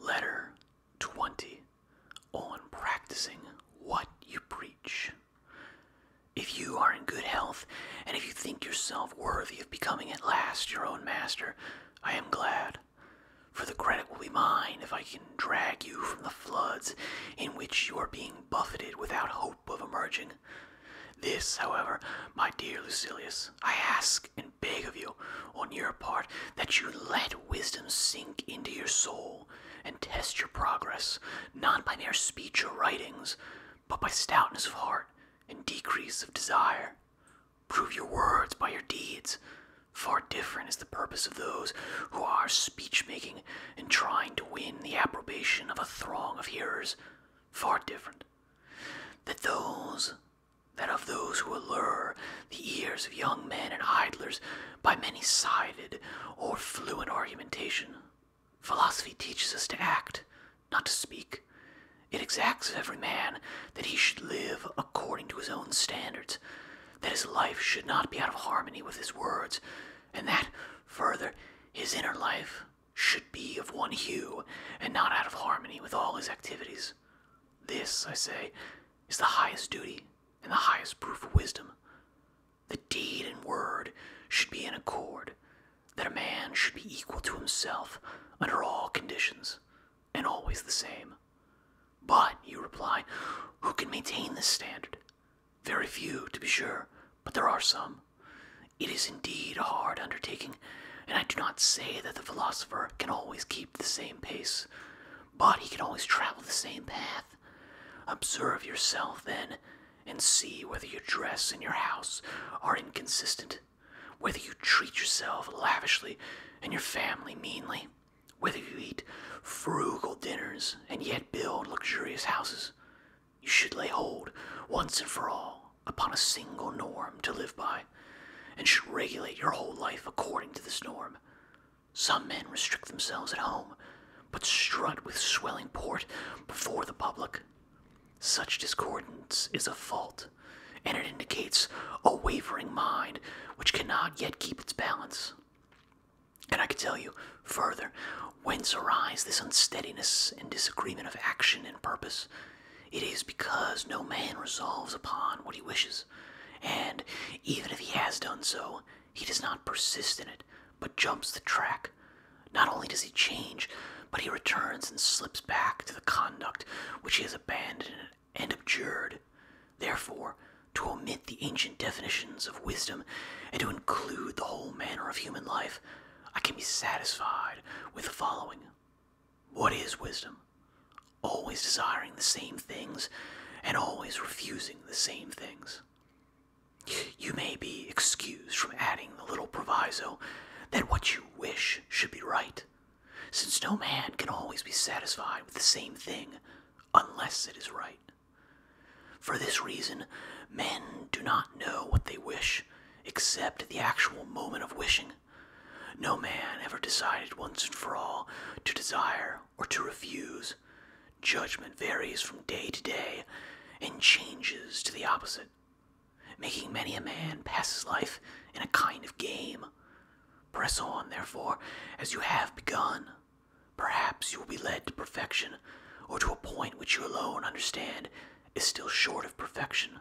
Letter 20 On Practicing What You Preach. If you are in good health, and if you think yourself worthy of becoming at last your own master, I am glad. For the credit will be mine if I can drag you from the floods in which you are being buffeted without hope of emerging. This, however, my dear Lucilius, I ask and beg of you on your part that you let wisdom sink into your soul and test your progress, not by mere speech or writings, but by stoutness of heart and decrease of desire. Prove your words by your deeds. Far different is the purpose of those who are speech making and trying to win the approbation of a throng of hearers. Far different. That those than of those who allure the ears of young men and idlers by many sided or fluent argumentation. Philosophy teaches us to act, not to speak. It exacts of every man that he should live according to his own standards, that his life should not be out of harmony with his words, and that, further, his inner life should be of one hue and not out of harmony with all his activities. This, I say, is the highest duty and the highest proof of wisdom. The deed and word should be in accord, that a man should be equal to himself under all conditions, and always the same. But, you reply, who can maintain this standard? Very few, to be sure, but there are some. It is indeed a hard undertaking, and I do not say that the philosopher can always keep the same pace, but he can always travel the same path. Observe yourself, then, and see whether your dress and your house are inconsistent, whether you treat yourself lavishly and your family meanly, whether you eat frugal dinners and yet build luxurious houses. You should lay hold, once and for all, upon a single norm to live by, and should regulate your whole life according to this norm. Some men restrict themselves at home, but strut with swelling port before the public. Such discordance is a fault, and it indicates a wavering mind which cannot yet keep its balance. And I can tell you further Whence arise this unsteadiness and disagreement of action and purpose? It is because no man resolves upon what he wishes, and even if he has done so, he does not persist in it, but jumps the track. Not only does he change, but he returns and slips back to the conduct which he has abandoned and abjured. Therefore, to omit the ancient definitions of wisdom and to include the whole manner of human life I can be satisfied with the following What is wisdom? Always desiring the same things and always refusing the same things. You may be excused from adding the little proviso that what you wish should be right, since no man can always be satisfied with the same thing unless it is right. For this reason, men do not know what they wish, except at the actual moment of wishing. No man ever decided once and for all to desire or to refuse. Judgment varies from day to day and changes to the opposite, making many a man pass his life in a kind of game. Press on, therefore, as you have begun, Perhaps you will be led to perfection, or to a point which you alone understand is still short of perfection.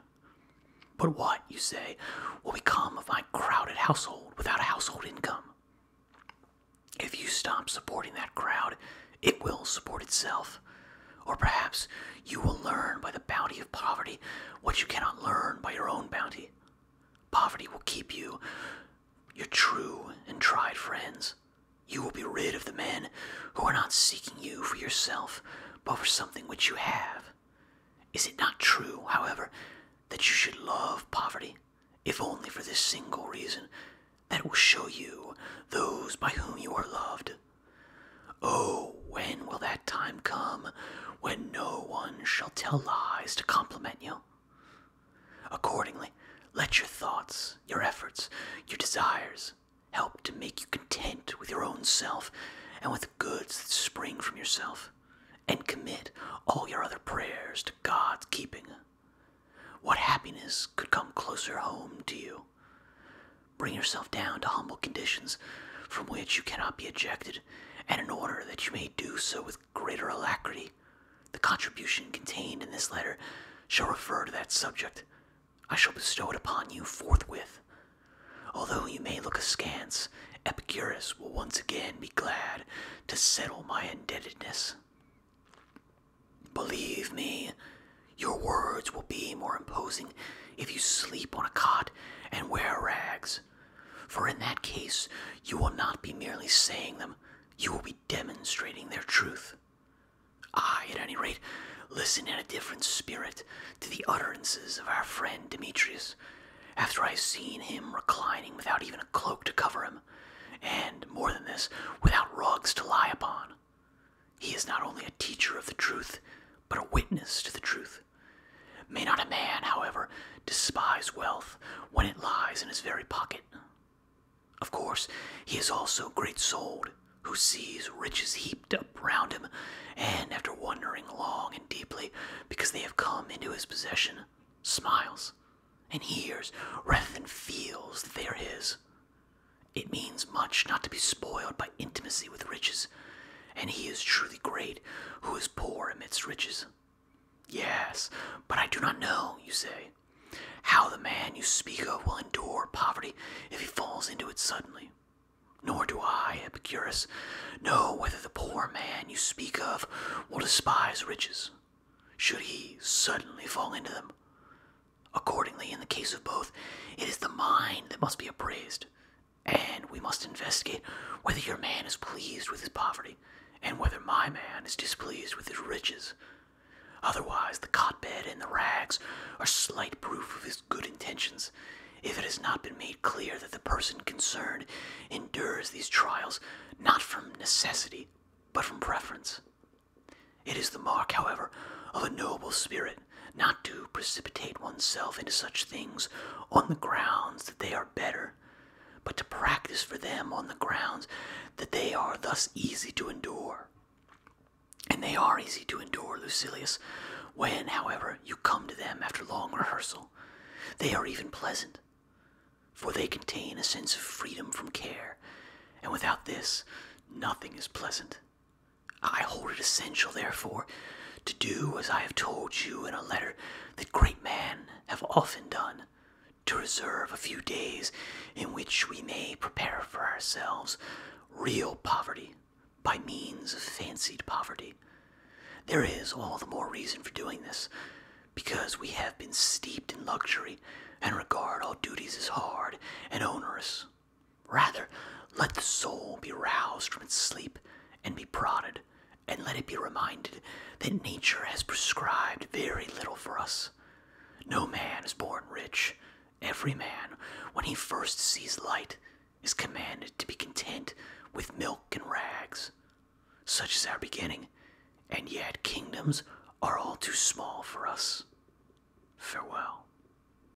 But what, you say, will become of my crowded household without a household income? If you stop supporting that crowd, it will support itself. Or perhaps you will learn by the bounty of poverty what you cannot learn by your own bounty. Poverty will keep you, your true and tried friends, you will be rid of the men who are not seeking you for yourself, but for something which you have. Is it not true, however, that you should love poverty, if only for this single reason, that it will show you those by whom you are loved? Oh, when will that time come when no one shall tell lies to compliment you? Accordingly, let your thoughts, your efforts, your desires help to make you content with your own self and with the goods that spring from yourself, and commit all your other prayers to God's keeping. What happiness could come closer home to you? Bring yourself down to humble conditions from which you cannot be ejected, and in order that you may do so with greater alacrity. The contribution contained in this letter shall refer to that subject. I shall bestow it upon you forthwith. Although you may look askance, Epicurus will once again be glad to settle my indebtedness. Believe me, your words will be more imposing if you sleep on a cot and wear rags for in that case, you will not be merely saying them, you will be demonstrating their truth. I, at any rate, listen in a different spirit to the utterances of our friend Demetrius, after I have seen him reclining without even a cloak to cover him, and, more than this, without rugs to lie upon. He is not only a teacher of the truth, but a witness to the truth, May not a man, however, despise wealth when it lies in his very pocket. Of course, he is also great souled, who sees riches heaped up round him, and after wondering long and deeply because they have come into his possession, smiles, and hears rather than feels that they are his. It means much not to be spoiled by intimacy with riches, and he is truly great who is poor amidst riches. Yes, but I do not know, you say, how the man you speak of will endure poverty if he falls into it suddenly. Nor do I, Epicurus, know whether the poor man you speak of will despise riches, should he suddenly fall into them. Accordingly, in the case of both, it is the mind that must be appraised, and we must investigate whether your man is pleased with his poverty, and whether my man is displeased with his riches. Otherwise, the cot-bed and the rags are slight proof of his good intentions. If it has not been made clear that the person concerned endures these trials not from necessity, but from preference. It is the mark, however, of a noble spirit not to to precipitate oneself into such things on the grounds that they are better, but to practice for them on the grounds that they are thus easy to endure. And they are easy to endure, Lucilius, when, however, you come to them after long rehearsal. They are even pleasant, for they contain a sense of freedom from care, and without this, nothing is pleasant. I hold it essential, therefore, to do as I have told you in a letter that great men have often done, to reserve a few days in which we may prepare for ourselves real poverty by means of fancied poverty. There is all the more reason for doing this, because we have been steeped in luxury and regard all duties as hard and onerous. Rather, let the soul be roused from its sleep and be prodded, and let it be reminded that nature has prescribed very little for us. No man is born rich. Every man, when he first sees light, is commanded to be content with milk and rags. Such is our beginning, and yet kingdoms are all too small for us. Farewell.